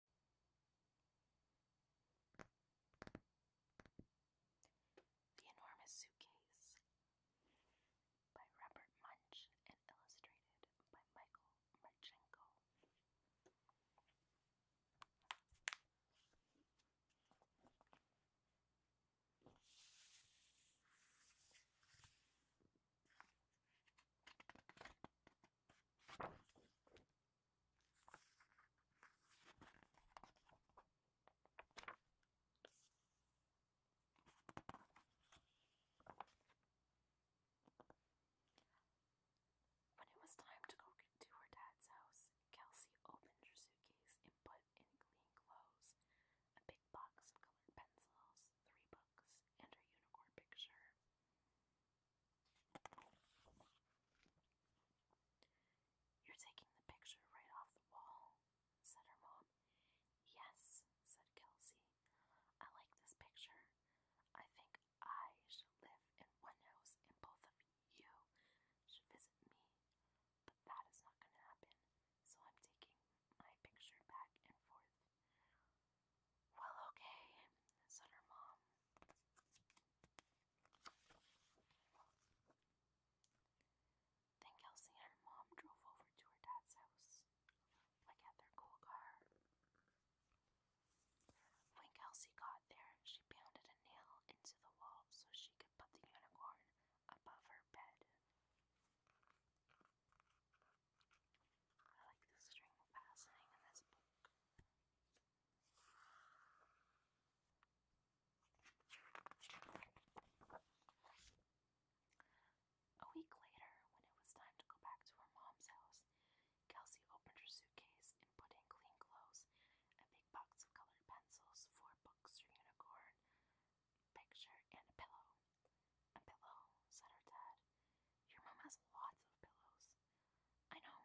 The Enormous Suitcase by Robert Munch illustrated by Michael Marchenko. When it was time to go to her dad's house, Kelsey opened her suitcase and put in clean clothes, a big box of colored pencils, three books, and her unicorn picture. You're taking the picture right off the wall, said her mom. Yes, said Kelsey. I like this picture. I think I should live in one house and both of you should visit me. But that is not going to happen, so I'm taking my picture back and forth. Well, okay, said her mom. Then Kelsey and her mom drove over to her dad's house, like at their cool car. When Kelsey got there, she pounded a nail into the wall so she could put the unicorn above her bed. I like the string fastening in this book. A week later, when it was time to go back to her mom's house, Kelsey opened her suitcase and put in clean clothes, a big box of colored pencils, four books, her unicorn picture, and a pillow. A pillow, said her dad. Your mom has lots of pillows. I know,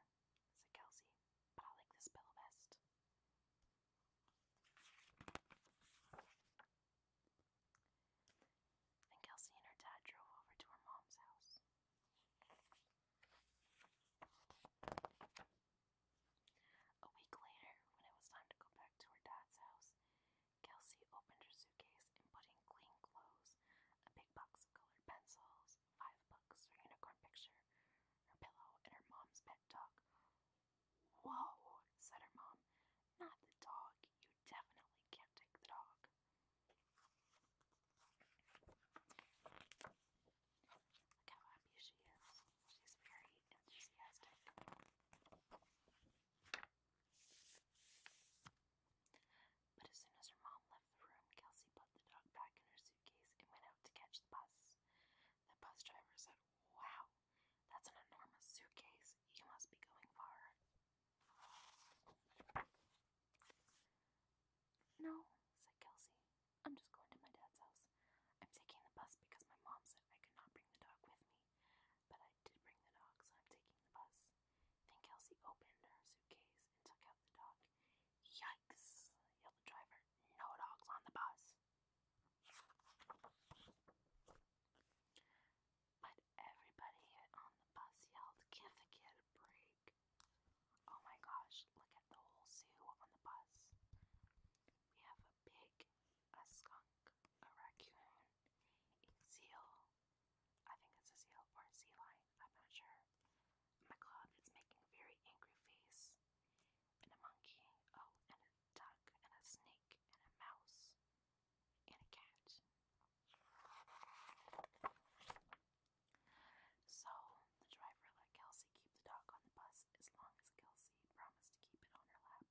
said Kelsey, but I like this pillow best. Then Kelsey and her dad drove over to her mom's house. A week later, when it was time to go back to her dad's house, Kelsey opened her suitcase and put in clean clothes clothes, a big box of colored pencils, five books, her unicorn picture, her pillow, and her mom's pet dog. Whoa, said her mom. Not the dog. You definitely can't take the dog. Look how happy she is. She's very enthusiastic. But as soon as her mom left the room, Kelsey put the dog back in her suitcase and went out to catch the bus. The bus driver said, Wow, that's an enormous suitcase. You must be going far. No, said Kelsey. I'm just going to my dad's house. I'm taking the bus because my mom said I could not bring the dog with me. But I did bring the dog, so I'm taking the bus. Then Kelsey opened her suitcase and took out the dog. Yikes! yelled the driver. No dogs on the bus. But everybody on the bus yelled, Give the kid a break. Oh my gosh, look at the whole zoo on the bus. We have a pig, a skunk, a raccoon, a seal, I think it's a seal or a sea lion. I'm not sure. My cloud is making very angry face. And a monkey. Oh, and a duck. And a snake. And a mouse. And a cat. So, the driver let Kelsey keep the dog on the bus as long as Kelsey promised to keep it on her lap.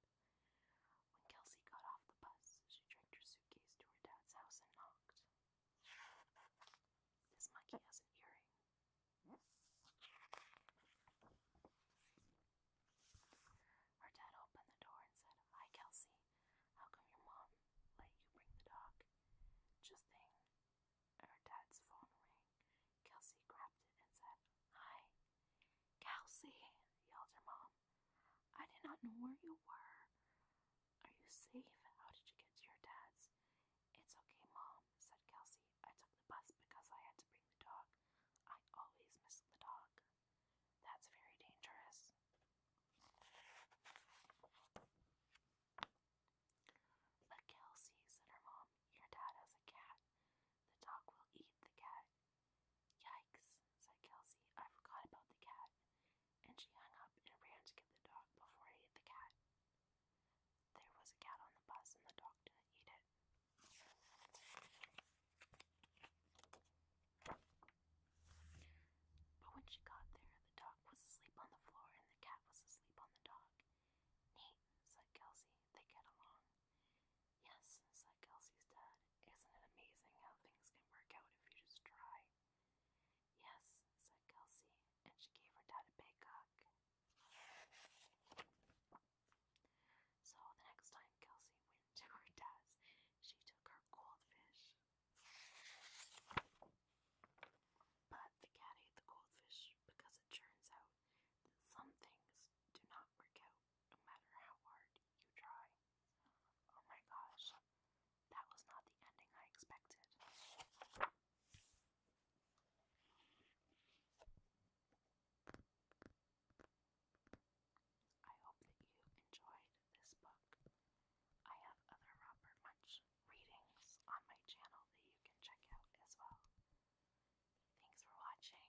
When Kelsey got off the bus, she dragged her suitcase to her dad's house and knocked. This monkey has an earring. Her dad opened the door and said, Hi, Kelsey. How come your mom let you bring the dog? Just then, her dad's phone rang. Kelsey grabbed it and said, Hi. Kelsey, yelled her mom. I did not know where you were. Are you safe? How did you get to your dad's? It's okay, Mom, said Kelsey. I took the bus because I had to bring the dog. I always miss the dog. That's very dangerous. But Kelsey, said her mom, your dad has a cat. The dog will eat the cat. Yikes, said Kelsey. I forgot about the cat and she hung up and ran to get the dog before it ate the cat. There was a cat on the bus, and the dog didn't eat it. But when she got there, the dog was asleep on the floor and the cat was asleep on the dog. Neat, said Kelsey. They get along. Yes, said Kelsey's dad. Isn't it amazing how things can work out if you just try? Yes, said Kelsey, and she gave her dad a big hug. So the next time Kelsey went to her dad's, she took her cold But the cat the cold because it turns out that some things do not work out no matter how hard you try. Oh my gosh, that was not the ending I expected. I hope that you enjoyed this book. I have other Robert Munch readings on my channel that you can check out as well. Thanks for watching.